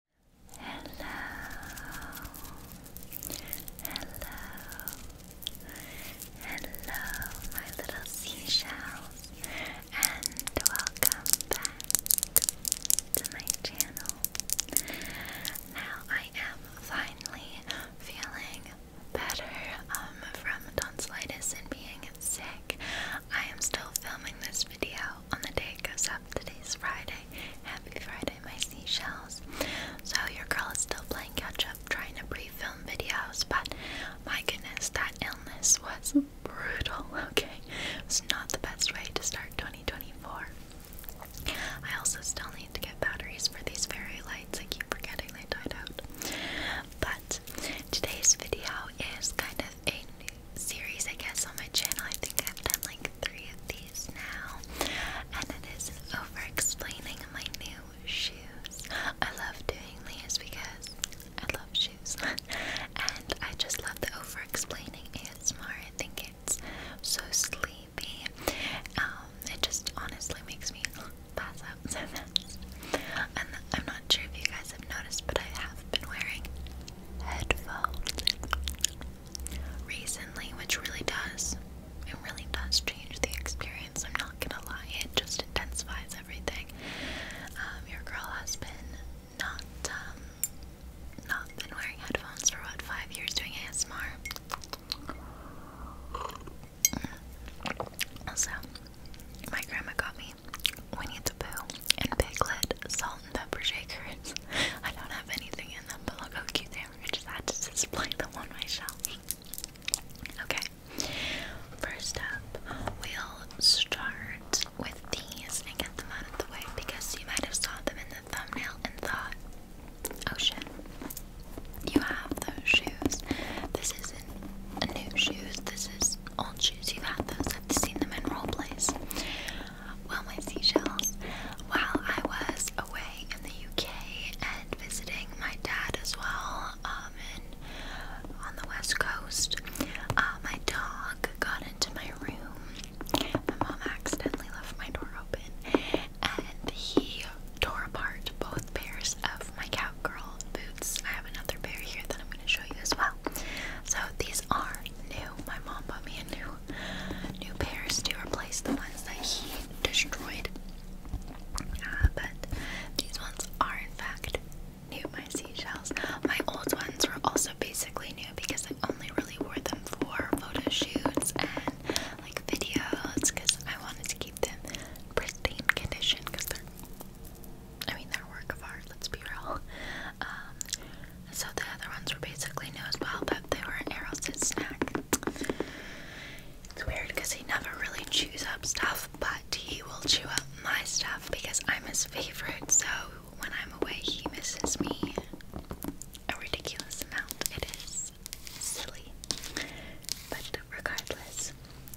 Hello, hello, hello, my little seashells, and welcome back to my channel. Now I am finally feeling better um, from tonsillitis and being sick. I am still filming this video on the day it Today's Friday. Happy Friday, my seashells. So, your girl is still playing catch up, trying to pre film videos, but my goodness, that illness was brutal, okay? It's not the best way to start 2024. I also still need to get batteries for these fairy lights. I keep forgetting they died out. But today's video is kind of a series, I guess, on my channel. I think I've done like three of these now, and it is over explaining my new shoes. I love doing these because I love shoes, and I just love the over explaining It's more. I think it's so sleepy. Um, it just honestly makes me pass out so fast. And I'm not sure if you guys have noticed, but I have been wearing headphones recently, which really does. It really does change the experience. I'm not gonna lie, it just intensifies everything. Um, your girl has been not um, not been wearing headphones for what five years doing ASMR. Also, my grandma got me. We need to and piglet salt pepper shakers. I don't have anything in them, but look how cute they are. I just had to display them on my shelf. Okay, first up, we'll start with these and get them out of the way because you might have saw them in the thumbnail and thought, oh shit, you have those shoes. This isn't new shoes, this is old shoes. You've had those, I've seen them in role plays. Well, my seashells, while I was away in the UK and visiting my dad as well, um, on the west coast, uh, my dog got into my room. My mom accidentally left my door open, and he tore apart both pairs of my cowgirl boots. I have another pair here that I'm going to show you as well. So these are new. My mom bought me new new pairs to replace the ones that he destroyed. Uh, but these ones are in fact new. My seashells. My old ones were also basically new because I only really wore them for photo shoots and like videos because I wanted to keep them pristine condition because they're I mean they're work of art, let's be real. Um, so the other ones were basically new as well, but they were an Arrowsit snack. It's weird because he never really chews up stuff, but he will chew up my stuff because I'm his favorite. So when I'm away, he misses me a ridiculous amount. It is silly. But regardless,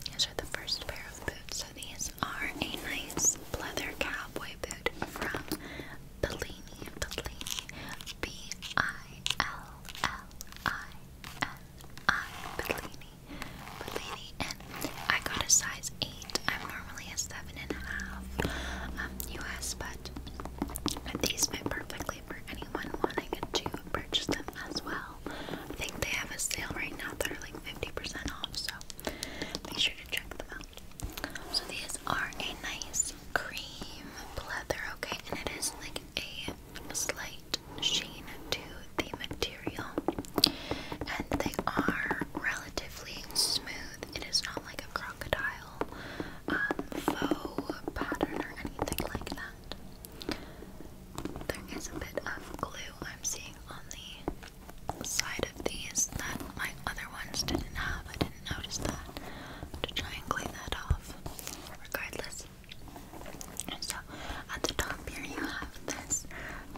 these are the first pair of boots. So these are a nice leather cowboy boot from Bellini, Bellini, B-I-L-L-I-N-I, Bellini, Bellini, and I got a size 8, I'm normally a 7.5, um, US, but these fit perfectly for anyone wanting to purchase them as well. I think they have a sale right now that are like 50% off, so make sure to check them out. So these are a nice cream leather, okay? And it is like a slight sheen to the material. And they are relatively smooth. It is not like a crocodile um, faux pattern or anything like that. There is a bit of glue I'm seeing on the side of these that my other ones didn't have. I didn't notice that. To try and clean that off. Regardless. So at the top here you have this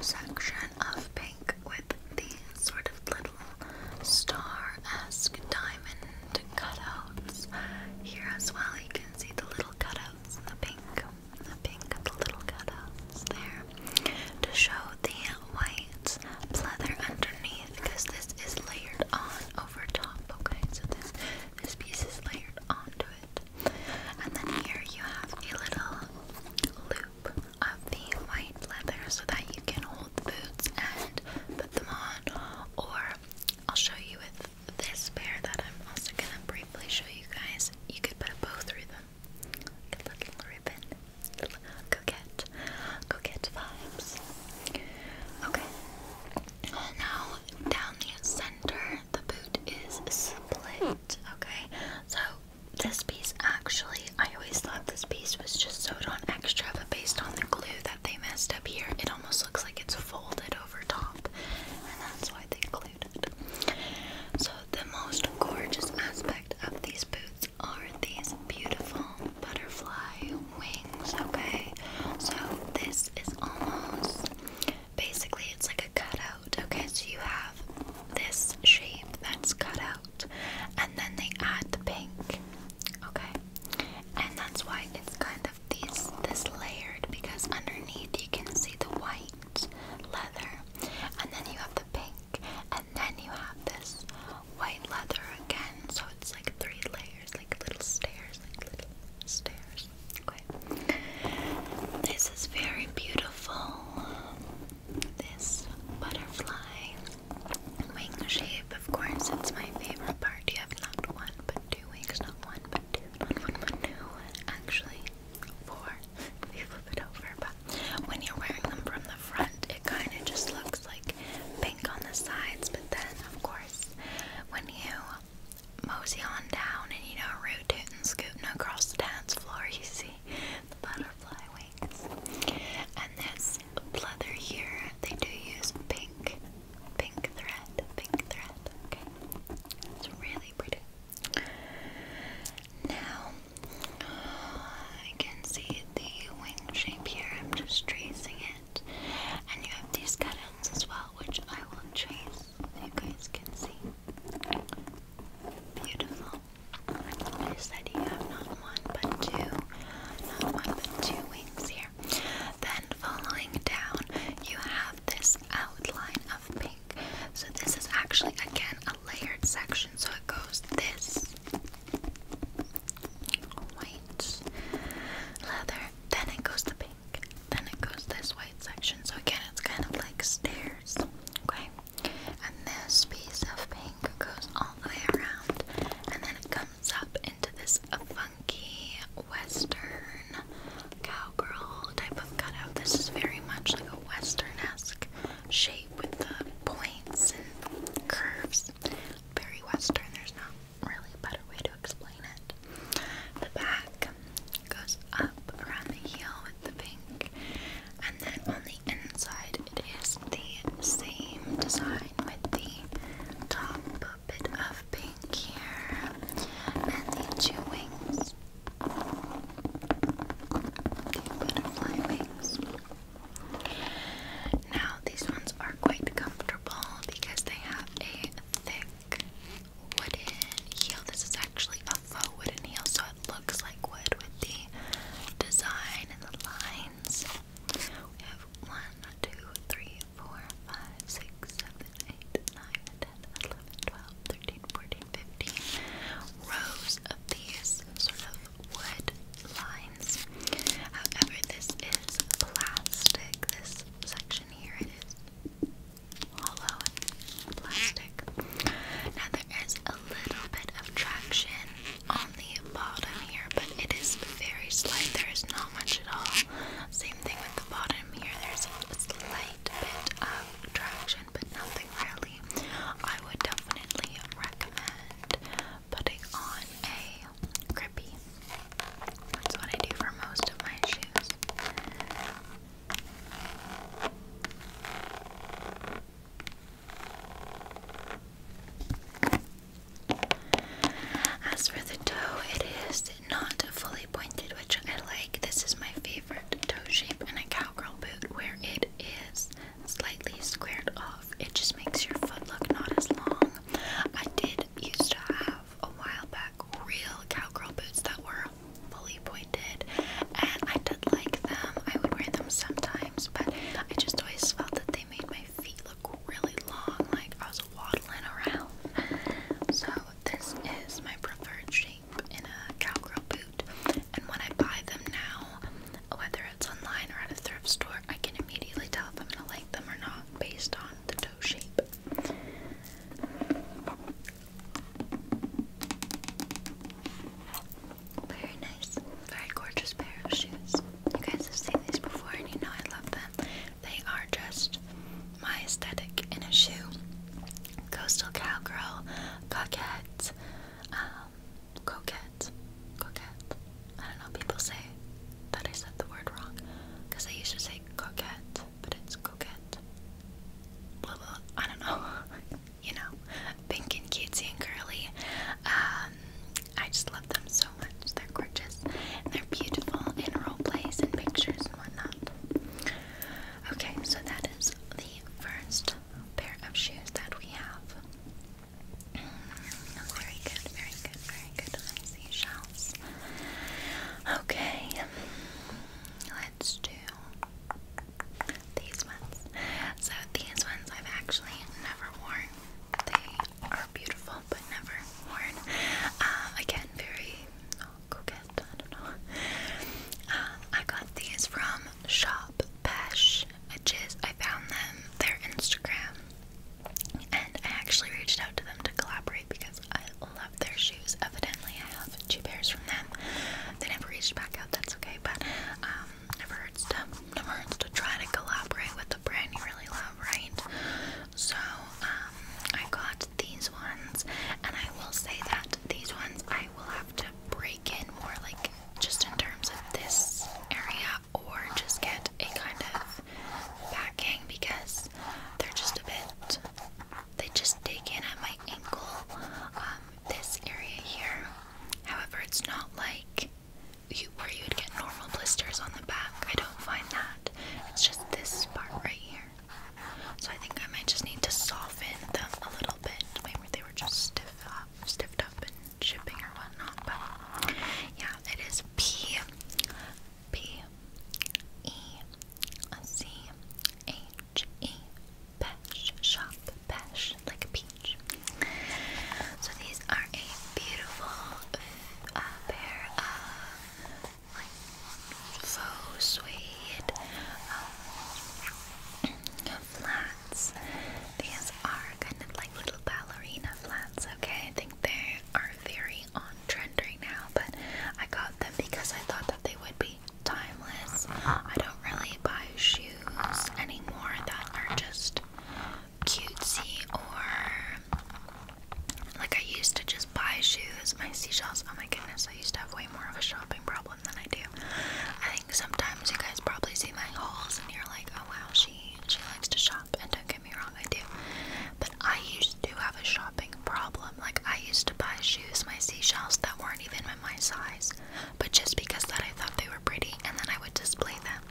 section of pink with these sort of little star-esque diamond cutouts here as well. You can see the little cutouts in the pink. The pink, the little cutouts there to show the white leather underneath because this is layered on over top. Okay, so this this piece is layered onto it, and then here you have a little loop of the white leather so that you can hold the boots and put them on. Or I'll show you with this pair that I'm also gonna briefly show you guys. You could put a bow through them, a little ribbon coquette, coquette vibes. Okay, now down the center, the boot is split. Okay, so this piece actually, I always thought this piece was just sewed on extra, but based on the glue that they messed up here, it almost looks like it's folded over top, and that's why they glued it. So, the most gorgeous aspect of these boots are these beautiful butterfly wings, okay? So this is almost basically it's like a cutout, okay? So you have this shape that's cut out, and then they add the pink, okay? And that's why it's kind of these this layered because underneath you can see the white leather, and then you have the pink and then you have this white leather again. So it's like three layers, like little stairs, like little stairs. This is very beautiful. This butterfly wing shape, of course, it's my favorite part. You have not one but two wings, not one but two, not one but two. Actually, four. If flip it over, but when you're wearing them from the front, it kind of just looks like pink on the sides. But then, of course, when you mosey on down and you know, rotate and scootin' across the dance floor, you see the butterfly wings. And this leather here, they do use pink, pink thread, pink thread. Okay, it's really pretty. Now, I can see the wing shape here. I'm just tracing it. And you have these cut as well, which I will trace so you guys can see. Beautiful. I said you have not one but two, not one but two wings here. Then following down, you have this outline of pink. So this is actually again a layered section, so it goes this white leather, then it goes the pink, then it goes this white section. So again, it's kind of like stairs, okay? And this piece of pink goes all the way around, and then it comes up into this funky western cowgirl type of cutout. This is very much like a western esque shape with the points and curves. Very western, there's not really a better way to explain it. The back goes up around the heel with the pink, and then on the inside, it is the same design with the top bit of pink here and the two wings. The butterfly wings. Now, these ones are quite comfortable because they have a thick wooden heel. This is actually a faux wooden heel, so it looks like wood with the design and the lines. We have 1, rows of these sort of wood lines. However, this is plastic. This section here it is hollow plastic. Now there is a little bit of traction on the bottom here, but it is very slight. There is not much at all. Same thing with the bottom here. There's a slight bit of traction, but nothing really. I would definitely recommend putting on a grippy. That's what I do for most of my shoes. As for the toe, it is not fully pointed, which I like. This is my favorite toe shape in a cowgirl boot, where it is slightly squared off. It just makes your foot look not as long. I did used to have a while back real cowgirl boots that were fully pointed, and I did like them. I would wear them sometimes, but I just always felt that they made my feet look really long, like I was waddling around. So, this is my preferred shape in a cowgirl boot, and when I buy them now, whether it's online or at a thrift store, I can immediately tell if I'm gonna like them or not based on the toe shape. Very nice, very gorgeous pair of shoes. You guys have seen these before and you know I love them. They are just my aesthetic in a shoe. Coastal cowgirl, coquette, um, coquette, coquette. I don't know. People say that I said the word wrong because I used to say coquette, but it's coquette. I don't know. you know, pink and cutesy and curly. Um, I just love them so much. They're gorgeous. And they're beautiful in role plays and pictures and whatnot. Okay, so that is the first pair of shoes that we have. Very good, very good, very good. seashells. Okay, let's do these ones. So these ones I've actually never worn. They are beautiful, but never worn. Uh, again, very oh, coquette. I don't know. Uh, I got these from Shop Pesh Edges. I found them, their Instagram, and I actually reached out to them to collaborate because I love their shoes. Evidently, I have two pairs from them. They never reached back out, that's okay, but um, never hurts to never hurts to try to collaborate with the brand you really love, right? So, um, I got these ones, and I will say that these ones I will have to break in more, like just in terms of this area or just get a kind of backing because they're just a bit, they just dig in at my ankle, um, this area here. However, it's not like you, where you would get normal blisters on the back. I don't find that. It's just this part right here. So I think I might just need to soften them a little bit. Maybe they were just stiff up, up in shipping or whatnot. But yeah, it is P P E C H E Pesh Shop Pesh like a peach. So these are a beautiful uh, pair of like faux suede um, flats. These are kind of like little ballerina flats, okay? I think they are very on trend right now, but I got them because I thought that they would be timeless. I don't really buy shoes anymore that are just cutesy or like I used to just buy shoes. My seashells, oh my goodness, I used to have way more of a shopping problem than I do. I think sometimes you guys probably see see my hauls and you're like, oh wow, she she likes to shop. And don't get me wrong, I do. But I used to have a shopping problem. Like I used to buy shoes, my seashells that weren't even in my size, but just because that I thought they were pretty, and then I would display them.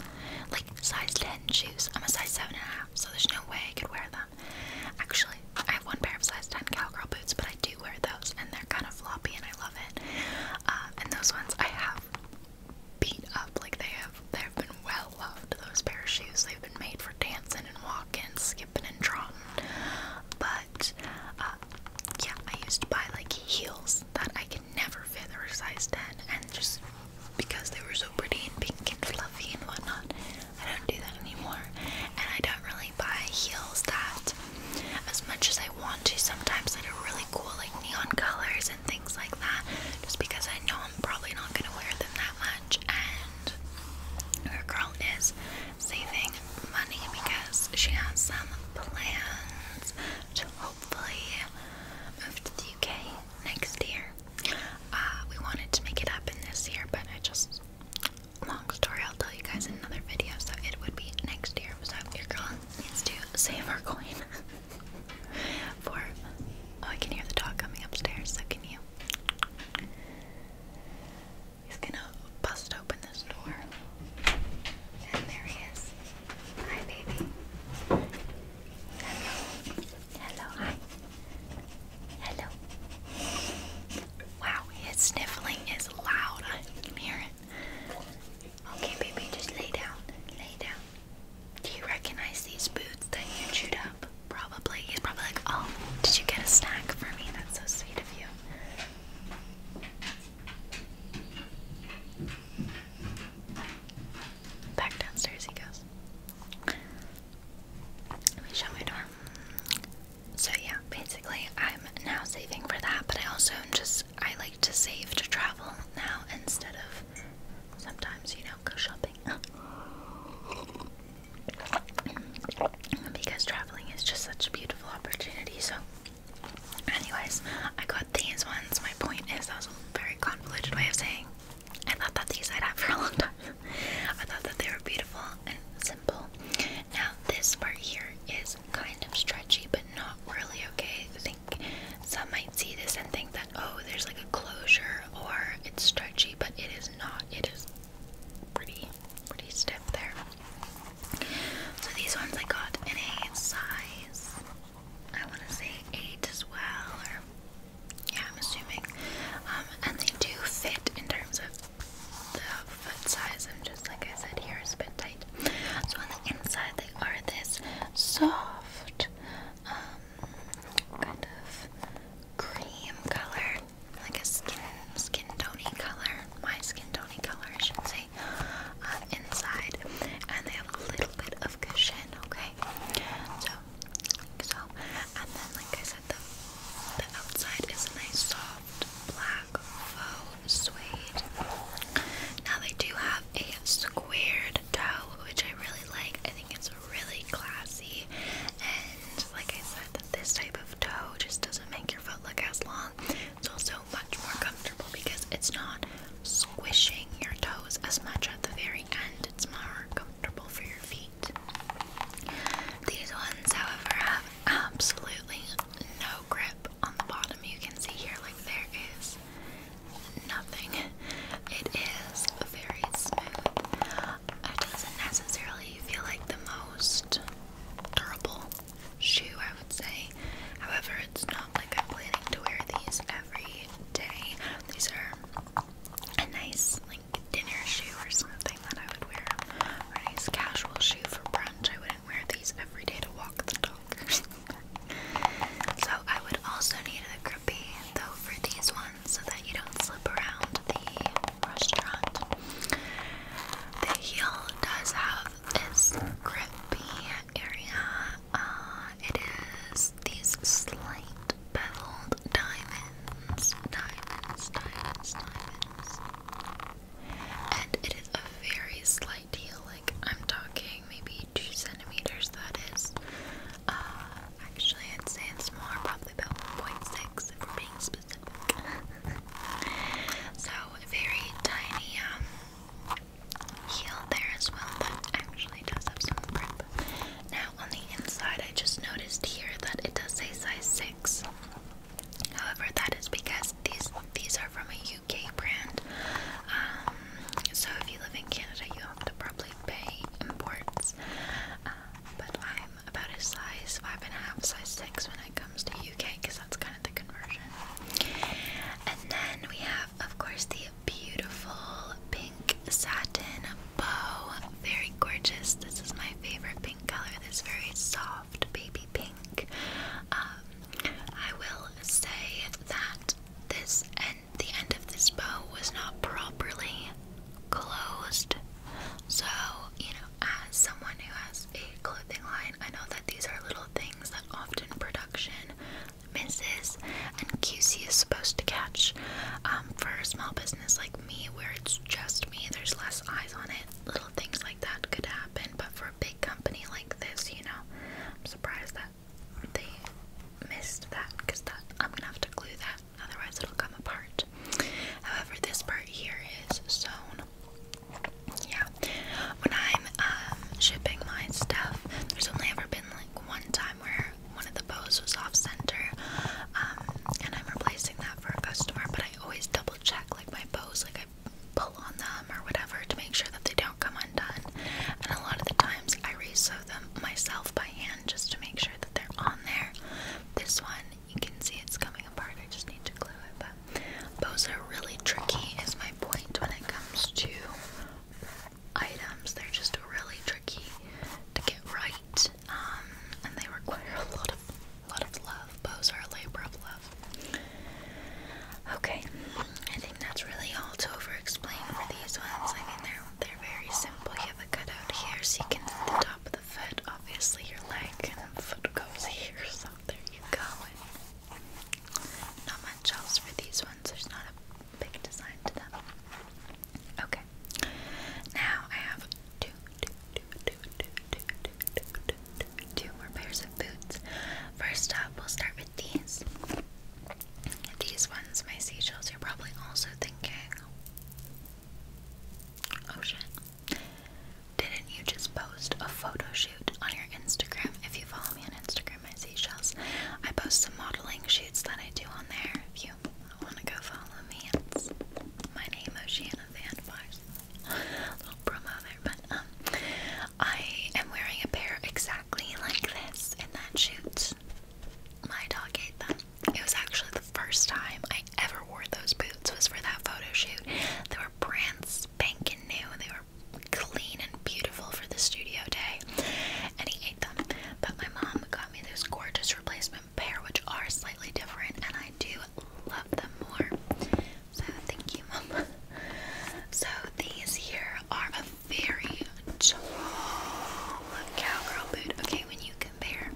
Like size 10 shoes. I'm a size seven and a half, so there's no way I could wear them. Actually, I have one pair of size 10 cowgirl boots, but I do wear those, and they're kind of floppy, and I love it. Uh, and those ones I have beat up. Like they have, they have been well loved. Those pair of shoes, they've been made for dancing and walking, skipping and trotting. But uh, yeah, I used to buy like heels that I could never fit. They size ten, and just because they were so pretty and pink and fluffy and whatnot, I don't do that anymore. And I don't really buy heels that, as much as I want to. Sometimes they do really cool, like neon colors things like that just because I know I'm probably not going to wear them that much and her girl is saving money because she has some plans to hopefully move to the UK next year. Uh, we wanted to make it happen this year but I just, long story I'll tell you guys in another video so it would be next year so your girl needs to save her coin. For oh, I can hear the dog coming upstairs. So can you? He's gonna bust open this door, and there he is. Hi, baby. Hello. Hello. Hi. Hello. Wow, his sniffling is loud. I can hear it. Okay, baby, just lay down. Lay down. Do you recognize these boots that you chewed up? Probably. He's probably like, oh, did you get a snack for me? That's so sweet of you. Back downstairs he goes. Let me shut my door. So yeah, basically I'm now saving for that, but I also just I to save to travel now instead of sometimes, you know, go shopping. because traveling is just such a beautiful opportunity. So, anyways, I got these ones. My point is, that was a very convoluted way of saying I thought that these I'd have for a long time. I thought that they were beautiful and simple. Now, this part here is kind of stretchy, but not really okay like some might see this and think that oh there's like a closure or it's stretchy but it is not it is pretty pretty stiff there so these ones I got in a size I want to say 8 as well or yeah I'm assuming um, and they do fit in terms of the foot size and just like I said here is a bit tight so on the inside, they are this soft, um, kind of cream color, like a skin skin tony color, my skin tony color, I should say, uh, inside, and they have a little bit of cushion. Okay, so so, and then like I said, the the outside is a nice soft black faux suede. Now they do have a squared toe, which I really like. I think it's really classy. And like I said, that this type of toe just doesn't make your foot look as long. It's also much more comfortable because it's not squishing your toes as much at the very end. It's more comfortable for your feet. These ones, however, have absolutely no grip on the bottom. You can see here, like there is nothing. It is very smooth. It doesn't necessarily feel like the most durable shoe, I would say. However, it's not like I'm planning to wear these every day. These are a nice, like, dinner shoe or something that I would wear. a nice casual shoe for brunch. I wouldn't wear these every day to walk the dogs. So I would also need a grippy though for these ones so that you don't slip around the restaurant. The heel does have this grippy area. Uh, it is these slight beveled diamonds, diamonds, diamonds, diamonds. And it is a very slight heel, like I'm talking maybe two centimeters, that is. Uh, actually, it's would say smaller, probably about 1.6 if we're being specific. so, very tiny um, heel there as well that actually does have some grip. Now, on the inside, I just noticed here that it does say size 6. However, that is because these these are from a UK brand. Um, so if you live in Canada, you have to probably pay imports. Uh, but I'm about a size five and a half, size six when it comes to UK, because that's kind of the conversion. And then we have, of course, the beautiful pink satin bow. Very gorgeous. This is my favorite pink color. This very soft baby pink. Um, I will say that this and the end of this bow was not properly closed. So, you know, as someone who has a clothing line, I know that these are little things that often production misses and QC is supposed to catch. Um, for a small business like me, where it's just me, there's less eyes on it. Little things like that could happen, but for a big company like this, you know, I'm surprised that they missed that because that I'm gonna have to glue that, otherwise it'll come apart. However, this part here is sewn. Yeah, when I'm um, shipping my stuff, there's only ever been like one time where one of the bows was off center, um, and I'm replacing that for a customer. But I always double check like my bows, like pull on them or whatever to make sure that they don't come undone. And a lot of the times I resew them myself by hand just to make sure that they're on there. This one, you can see it's coming apart. I just need to glue it. But bows are really tricky is my point when it comes to items. They're just really tricky to get right. Um, and they require a lot of lot of love. Bows are a labor of love. Okay, I think that's really all to over-explain for these ones. I mean, they're they're very simple. You have a cutout here, so you can the top of the foot. Obviously, your leg and foot goes here, so there you go. not much else for these ones. There's not a big design to them. Okay. Now I have two, two, two, two, two, two, two, two, two, two more pairs types First up, we'll start with these. These ones, my seashells, you're probably also thinking, oh shit, didn't you just post a photo on your Instagram? If you follow me on Instagram, my seashells, I post some modeling shoots that I do on there. If you want to go follow me, my name, Oceana Fanbars. Little promo there but um, I am wearing a pair exactly like this in that shoot. My dog ate them. It was actually the first time I ever wore those boots was for that photo shoot. They were brand spanking new. They were clean and beautiful for the studio day, and he ate them. But my mom got me this gorgeous replacement pair, which are slightly different, and I do love them more. So thank you, Mom. So these here are a very tall cowgirl boot. Okay, when you compare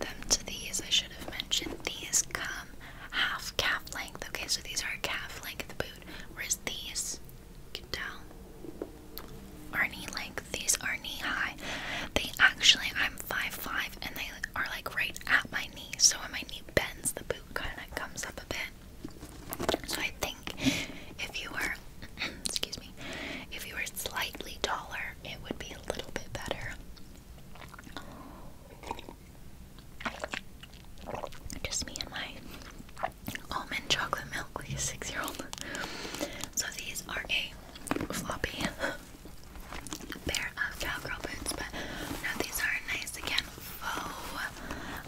them to these, I should have mentioned these come half calf length. Okay, so these are calf length boot, whereas these, you can tell, are knee length. These are knee high. They actually, I'm 5'5", and they are like right at my knee. So when my knee bends, the boot kind of comes up a bit. So I think if you were, excuse me, if you were slightly taller, it would be a little bit better. Just me and my almond chocolate milk six-year-old. So these are a floppy pair of cowgirl boots, but now these are nice again faux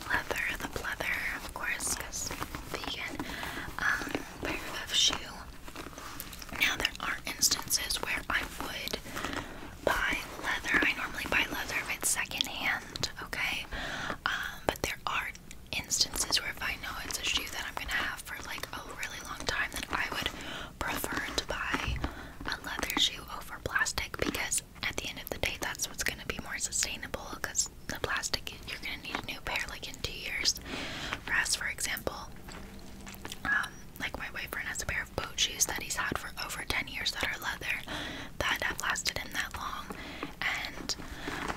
leather, the pleather, of course, because vegan um, pair of shoe. Now there are instances where I would buy leather. I normally buy leather if it's secondhand, okay? Um, but there are instances where if I know it's a shoe that I'm gonna have for like a really long time, then I would prefer to buy a leather shoe over plastic because at the end of the day, that's what's going to be more sustainable because the plastic, you're going to need a new pair like in two years. For us, for example, um, like my boyfriend has a pair of boat shoes that he's had for over 10 years that are leather that have lasted him that long. And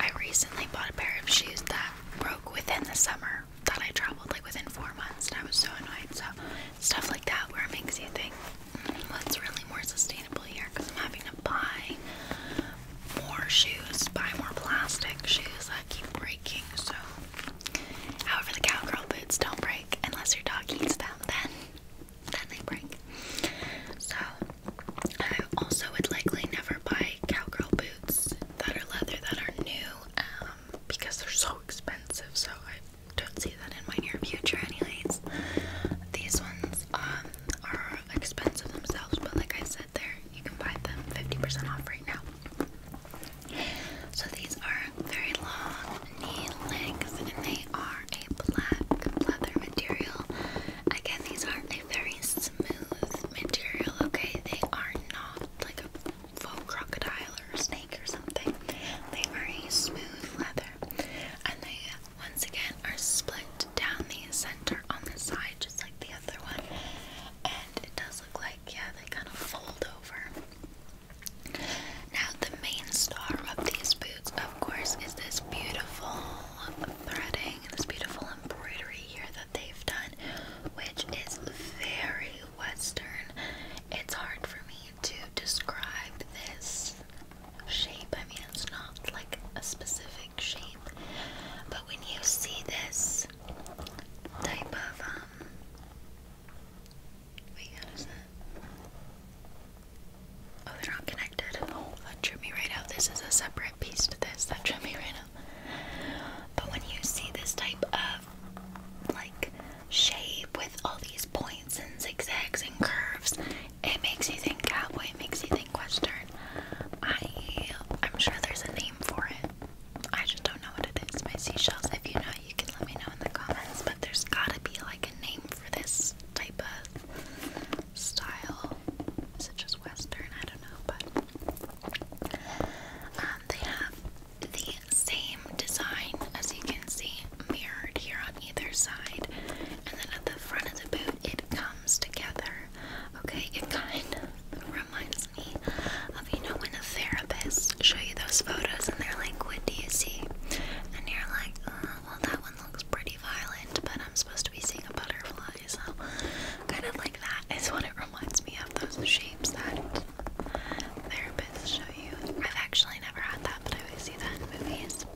I recently bought a pair of shoes that broke within the summer that I traveled like within four months, and I was so annoyed. So, stuff like that where it makes you think what's really more sustainable here because I'm having to buy more shoes, buy more plastic shoes that keep breaking. So, however, the cowgirl boots don't break unless your dog eats them, then, then they break. So, I also would likely never buy cowgirl boots that are leather that are new um, because they're so expensive. So, I don't see that in my near future, anyways. These ones um, are expensive themselves, but like I said, there you can buy them 50% off right now. So these are very long knee lengths, and they are a black leather material. Again, these are a very smooth material. Okay, they are not like a faux crocodile or snake or something. They are a smooth leather, and they once again are split down the center on the side just like the other one and it does look like yeah they kind of fold over now the main star of these boots of course is this beautiful threading this beautiful embroidery here that they've done which is very western it's hard for me to describe this shape. I mean, it's not like a specific shape, but when you see this type of, um, Oh, they're not connected. that drew me right out. This is a separate piece to this. That drew me right out. But when you see this type of like shape with all these points and zigzags and curves. It makes you think cowboy, it makes you think western. I I'm sure there's a name for it. I just don't know what it is. My seashells, if you know, you can let me know in the comments, but there's gotta be like a name for this type of style. Is it just western? I don't know, but um, they have the same design as you can see mirrored here either side, and then at the front of the boot, it comes together. Okay, it kind of reminds me of you know when a therapist show you those photos and they're like, "What do you see?" and you're like, uh, "Well, that one looks pretty violent, but I'm supposed to be seeing a butterfly." So, kind of like that is what it reminds me of those shapes that therapists show you. I've actually never had that, but I always see that in movies.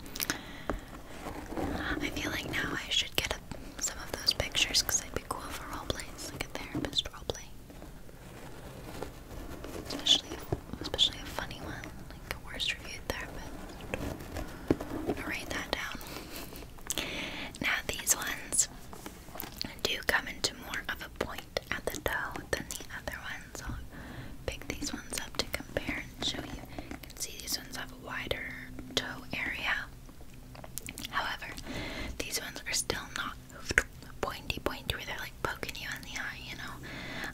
I feel like now I should get some of those pictures because they'd be cool for roleplays, like a therapist roleplay. Especially, especially a funny one, like a worst reviewed therapist. gonna write that down. Now these ones do come into more of a point at the toe than the other ones. I'll pick these ones up to compare and show you you can see these ones have a wider toe area. However, these ones are still not pointy pointy where they're like poking you in the eye, you know.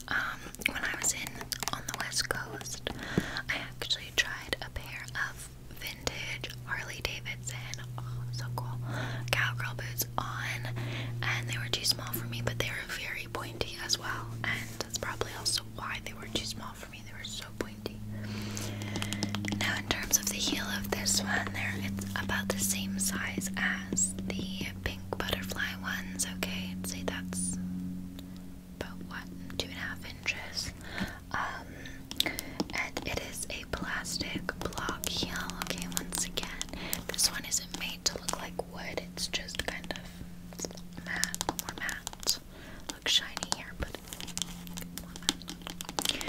Um, when I was in on the west coast, I actually tried a pair of vintage Harley Davidson, oh so cool, cowgirl boots on, and they were too small for me, but they were very pointy as well, that's probably also why they were too small for me. They were so pointy. Now, in terms of the heel of this one, there it's about the same size as the pink butterfly ones. Okay, I'd say that's about what two and a half inches. Um, and it is a plastic block heel. Okay, once again, this one isn't made to look like like wood, it's just kind of matte, more matte. Looks shiny here, but more matte.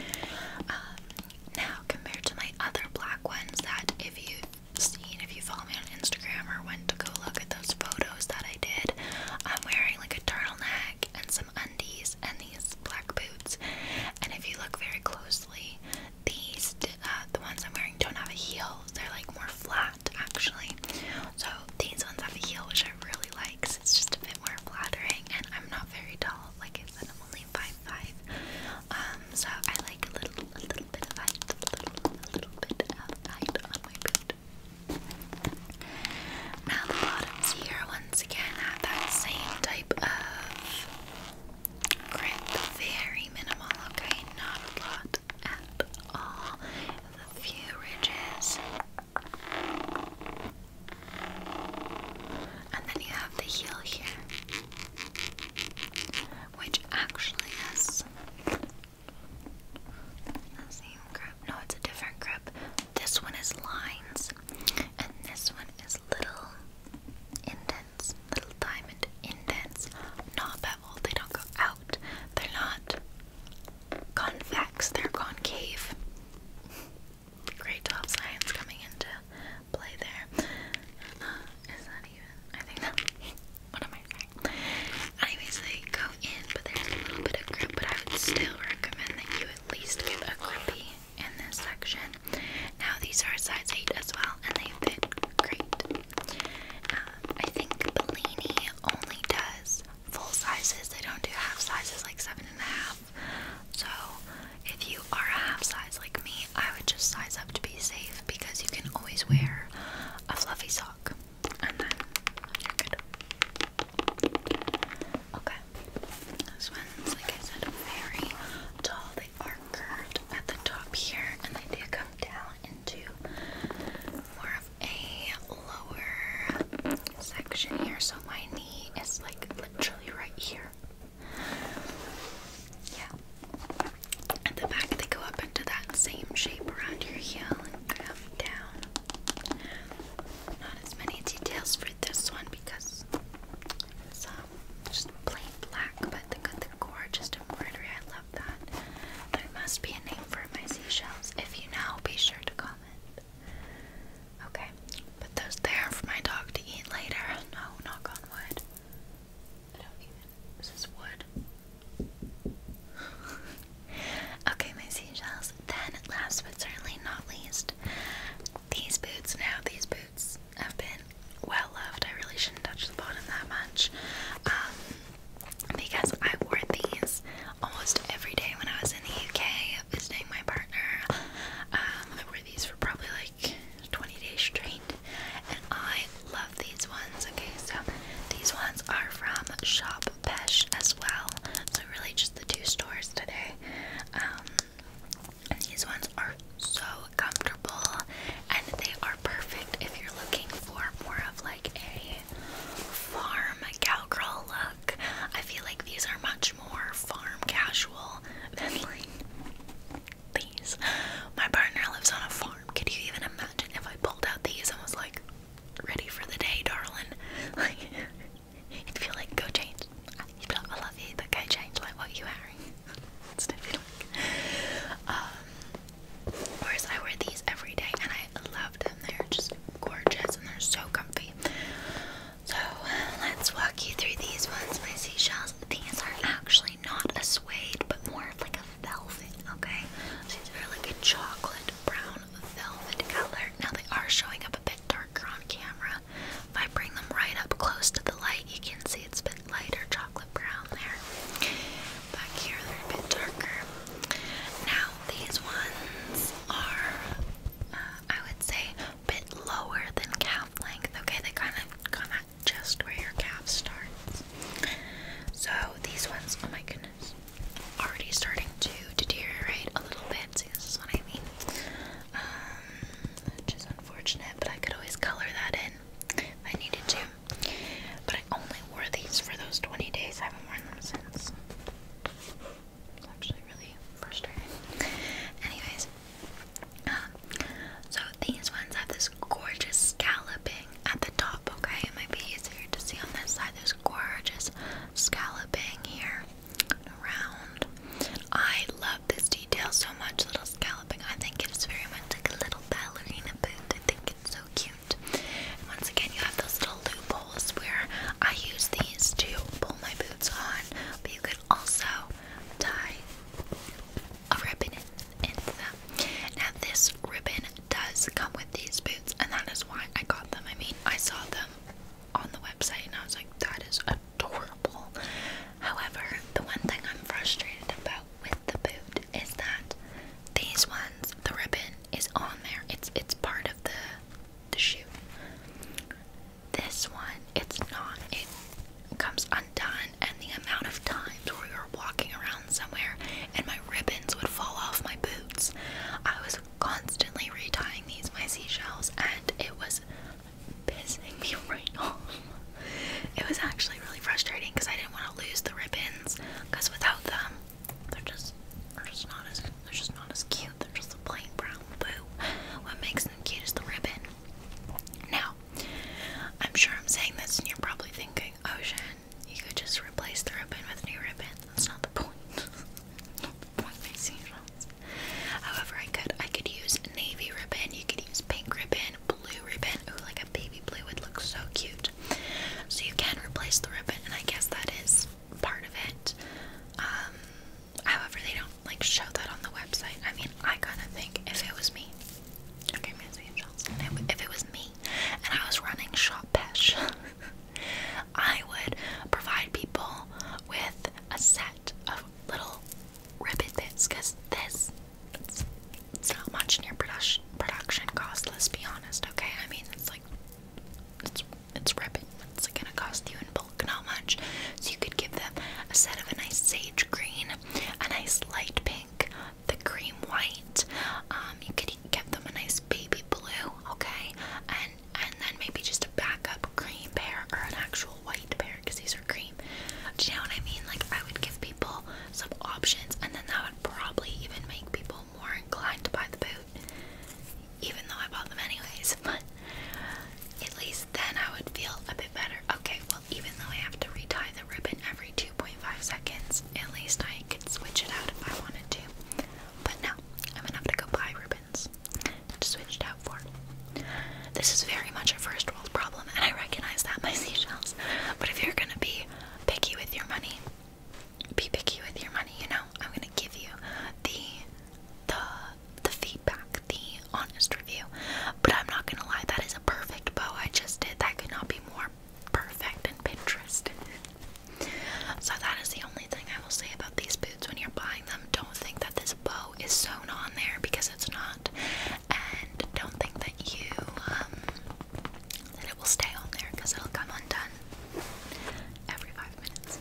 Um, now, compared to my other black ones, that if you've seen, if you follow me on Instagram or went to go look at those photos that I did, I'm wearing like a turtleneck and some undies and these black boots. And if you look very closely, these, uh, the ones I'm wearing don't have a heel, they're like more flat actually. So these ones have a heel, which I really like. it's just a bit more flattering, and I'm not very tall. Like I am only five five. Um, so I like a little, a little bit of height, a little, a little bit of height on my boot. Now the bottoms here once again have that same type of grip, very minimal. Okay, not a lot out all the few ridges. And then you have the heel here, which actually has The same grip. No, it's a different grip. This one is lines, and this one is little indents, little diamonds diamond indents, not beveled, they don't go out, they're not convex, they're concave. Great top science coming into play there. Uh, is that even? I think that. What am I saying? Anyways, they go in, but there's a little bit of grip. But I would still recommend that you at least get a grippy in this section. Now these are a size eight as well, and they fit great. Um, I think Bellini only does full sizes. They don't do half sizes like seven and a half. So if you are a half size like me, I would just size up to be safe because you can always wear a fluffy sock Okay. This one's like I said very tall. They are curved at the top here and they do come down into more of a lower section here, so my knee is like literally right here. Yeah. At the back, they go up into that same shape around your heel and come down. Not as many details for this one because it's um, just plain black, but they the, the gorgeous I love that. There must be a name for my seashells. If you know, be sure to comment. Okay, put those there for my dog to eat later. No, knock on wood. I don't even. Is wood? okay, my seashells. Then, last but certainly not least, these boots. Now, these boots have been well loved. I really shouldn't touch the bottom that much. Um, because I wore these almost every day when I was in the UK visiting my partner. Um, I wore these for probably like 20 days straight, and I love these ones. Okay, so these ones are from Shop Pesh as well, so really just the two stores today. Um, these ones are so comfortable and they are perfect if you're looking for more of like a farm cowgirl look. I feel like these are much more farm casual than like these. My partner lives on a farm. Could you even imagine if I pulled out these and was like, ready for the day, darling? Like, you feel like, go change. You'd be like, I love you, but go change like what you're wearing. it's definitely like, um, of I wear these every day and I love them. They're just gorgeous and they're so comfy. So, let's walk you through these ones. My seashells, these are actually not a suede, but more of like a velvet, okay? So these are like a chocolate brown velvet color. Now, they are showing up a bit darker on camera. If I bring them right up close to the light, you can see it's a bit lighter chocolate brown there back here they're a bit darker. Now these ones are, uh, I would say, a bit lower than calf length. Okay, they kind of come at just where your calf starts. So these ones, oh my goodness, already starting to deteriorate a little bit. See, this is what I mean. Um, which is unfortunate, but I could always color that in if I needed to. But I only wore these for those 20 days. I haven't worn them since. It's actually really frustrating. Anyways, um, so these ones have this gorgeous scalloping at the top, okay? It might be easier to see on this side. There's gorgeous scalloping here and around. I love this detail so much, little scalloping. I think it's very much like a little ballerina boot. I think it's so cute. And once again, you have those little loopholes where I use these to pull my boots on, but you could also tie a ribbon into them. Now, this ribbon does come with these boots, and that is why I got them. I mean, I saw them on the website and I was like, that is adorable. However, the one thing I'm frustrated about with the boot is that these ones, the ribbon is on there. It's it's part of the the shoe. This one, it's not. It comes undone, and the amount of time where you're walking around somewhere and my ribbons would fall off my boots, I was constantly retying these my seashells, and it was pissing me right off. It was actually really frustrating because I didn't want to lose the ribbons, Cause without them, they're just they're just not as they're just not as cute. They're just a plain brown boo. What makes them cute is the ribbon. Now, I'm sure I'm saying this, and you're probably thinking, Ocean, you could just replace the ribbon with new ribbon. That's not the point. the point makes However, I could I could use navy ribbon. You could use pink ribbon blue ribbon. Ooh, like a baby blue would look so cute. So you can replace the ribbon, and I guess that is part of it. Um, however, they don't like show that on the website. I mean, I kind of think if it was me, okay, Miss Angels, if it was me and I was running Shop Pesh, I would provide people with a set of little ribbon bits because this it's, not much in your production production cost. Let's be honest, okay? I mean, it's like it's it's ripping. It's like, gonna cost you in bulk, not much. So you could give them a set of a nice sage green, a nice light pink, the cream white. Um, you could give them a nice baby blue, okay? And and then maybe just a backup cream pair or an actual white pair because these are cream. Do you know what I mean? Like I would give people some options, and then that would probably even make people more inclined to buy the boot, even though I bought them anyways. But at least then I would feel a bit better. Okay, well, even though I have to retie the ribbon every 2.5 seconds, at least I could switch it out if I wanted to. But no, I'm gonna have to go buy ribbons to switch it out for. This is very much a first world problem, and I recognize that my seashells. But if you're gonna be picky with your money. Be picky with your money, you know. I'm gonna give you the the the feedback, the honest review. But I'm not gonna lie, that is a perfect bow I just did. That could not be more perfect in Pinterest. so that is the only thing I will say about these boots when you're buying them. Don't think that this bow is sewn on there because it's not. And don't think that you um that it will stay on there because it'll come undone every five minutes.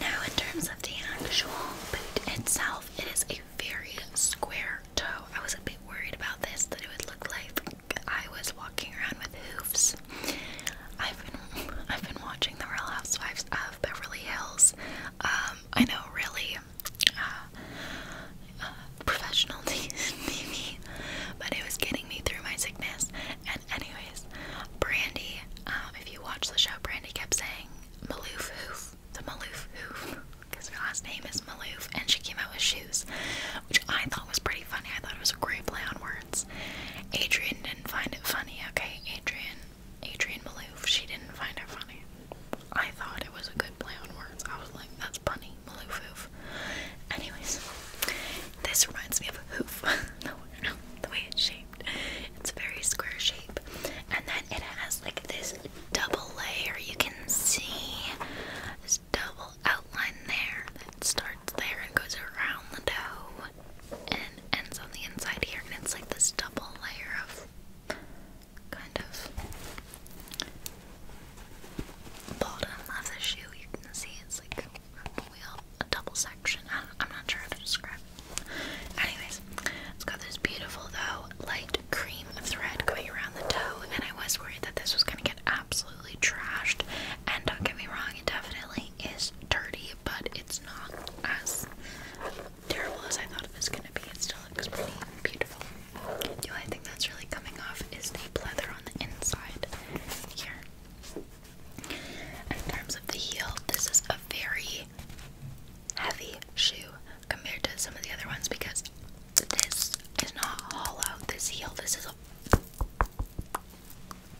Now, in terms of the actual boot itself, it is a very square toe. I was a bit worried about this that it would look like I was walking around with hooves. I've been I've been watching the Real Housewives of Beverly Hills. Um, I know, really uh, uh, professional but it was getting me through my sickness. And anyways, Brandy, um, if you watch the show, Brandy kept saying Maloof Hoof, the Maloof Hoof, because her last name is Maloof, and she came out with shoes, which I thought was pretty funny. I thought it was a great play on words. Adrian didn't find it funny, okay? Adrian, Adrian Maloof, she didn't find it funny. I thought it was a good play on words. I was like, that's funny. Maloof Anyways, this reminds me of a hoof. no, no, the way it's shaped. It's very square shape. And then it has like this double layer. You can see this double outline there that starts there and goes around the dough and ends on the inside here. And it's like this double layer of kind of bottom of the shoe, you can see it's like a double section. I am not sure how to describe it. Anyways, it's got this beautiful, though, light cream thread going around the toe, and I was worried that this was going to get absolutely trashed. And don't get me wrong, it definitely is dirty, but it's not as terrible as I thought it was going to be. It still looks pretty beautiful. The only thing that's really coming off is the leather on the inside here. In terms of the heel, this is a very heavy shoe compared to some of the other ones because this is not hollow. This heel, this is a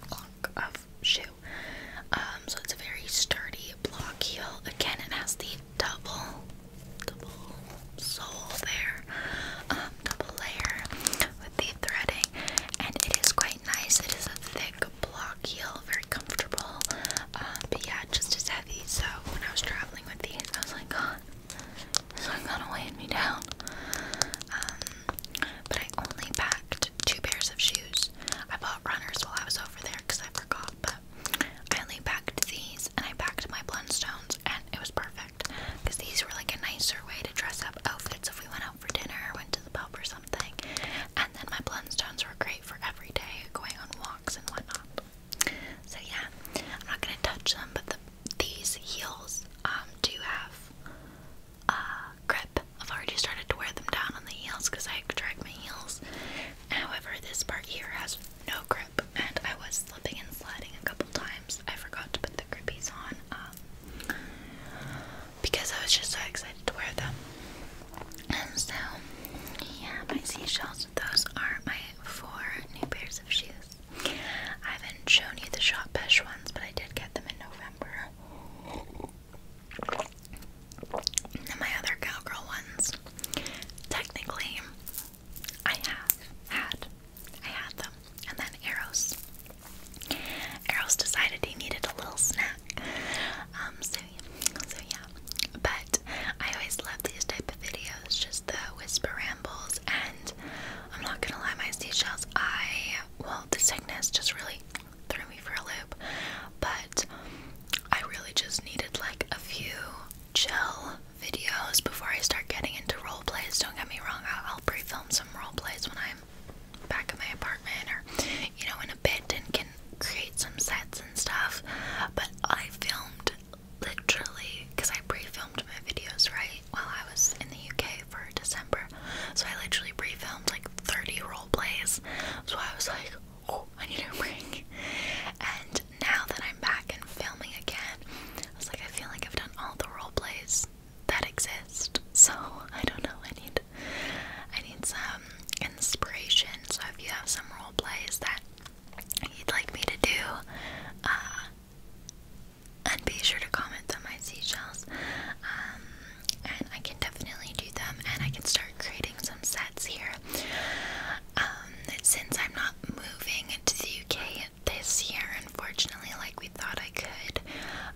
block of shoe. Um, so it's a very sturdy block heel. Again, it has the double double sole there, um, double layer with the threading, and it is quite nice. It is a thick block heel, very comfortable, uh, but yeah, just as heavy. So when I was traveling with these, I was like, God, this one's gonna weigh me down. Um, but I only packed two pairs of shoes. I bought runners while I was over there because I forgot, but I only packed these and I packed my Blundstones, and it was perfect because these were like a nicer way to dress up outfits if we went out for dinner or went to the pub or something. And then my Blundstones were great for every day going on walks and whatnot. So yeah, I'm not gonna touch them, but these heels um, do have uh, grip. I've already started to wear them down on the heels because I drag my heels. However, this part here has no grip, and I was slipping and sliding a couple times. I forgot to put the grippies on um, because I was just so excited to wear them. And so, yeah, my seashells, those are my four new pairs of shoes. I haven't shown you the shop pesh ones, but I did get them in November. my other cowgirl ones. Technically, I have had. I had them. And then Eros. Eros decided he needed a little snack. Um, so, so yeah. But I always love these type of videos, just the whisper rambles. And I'm not gonna lie, my seashells, I, well, the sickness just really threw me for a loop. But I really just needed like a few chill videos before I start getting into role plays. Don't get me wrong, I'll, pre film some role plays when I'm back in my apartment or, you know, in a bit and can create some sets and stuff. But I filmed literally because I pre filmed my videos, right, while I was in the UK for December. So I literally pre filmed like 30 role plays. So I was like, oh, I need a ring. And now that I'm back and filming again, I was like, I feel like I've done all the role plays that exist. So I don't know. I need, I need some inspiration. So if you have some role plays that you'd like me to do, uh, and be sure to comment on my seashells. Um, and I can definitely do them, and I can start creating some sets here. Um, since I'm not moving into the UK this year, unfortunately, like we thought I could.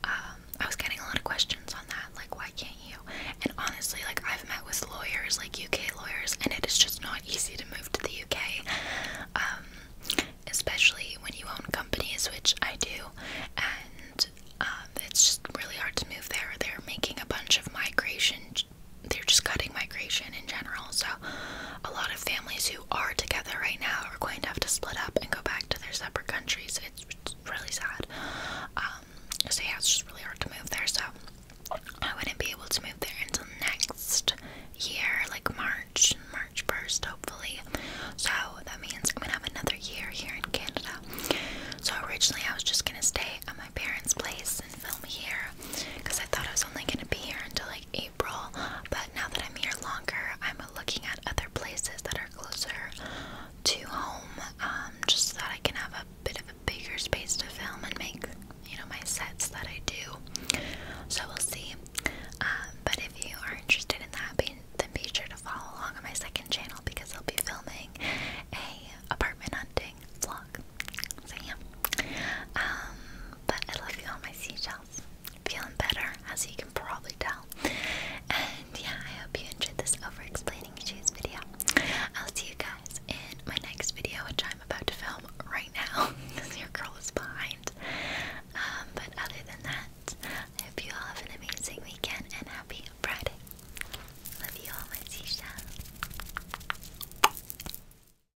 Um, I was getting a lot of questions on that, like, why can't you? And honestly, like, I've met with lawyers, like UK lawyers, and it is just not easy to move to the UK, um, especially when you own companies, which I do, and um, it's just really hard to move there. They're making a bunch of migration they're just cutting migration in general. So, a lot of families who are together right now are going to have to split up and go back to their separate countries. It's, really sad. Um, so, yeah, it's just really hard to move there. So, I wouldn't be able to move there until next year, like March, March 1st, hopefully. So, that means I'm gonna have another year here in Canada. So, originally, I was just gonna stay at my parents' place and film here because I thought I was only gonna be here until like but now that I'm here longer, I'm looking at other places that are closer to home um, just so that I can have a bit of a bigger space to film and make, you know, my sets that I do. So we'll see. Um, but if you are interested in that, be, then be sure to follow along on my second channel because I'll be filming a apartment hunting vlog. So Um, but I love you all my seashells. Feeling better, as you can probably tell. And yeah, I hope you enjoyed this over explaining shoes video. I'll see you guys in my next video, which I'm about to film right now because your girl is behind. Um, but other than that, I hope you all have an amazing weekend and happy Friday. Love you all, my seashells.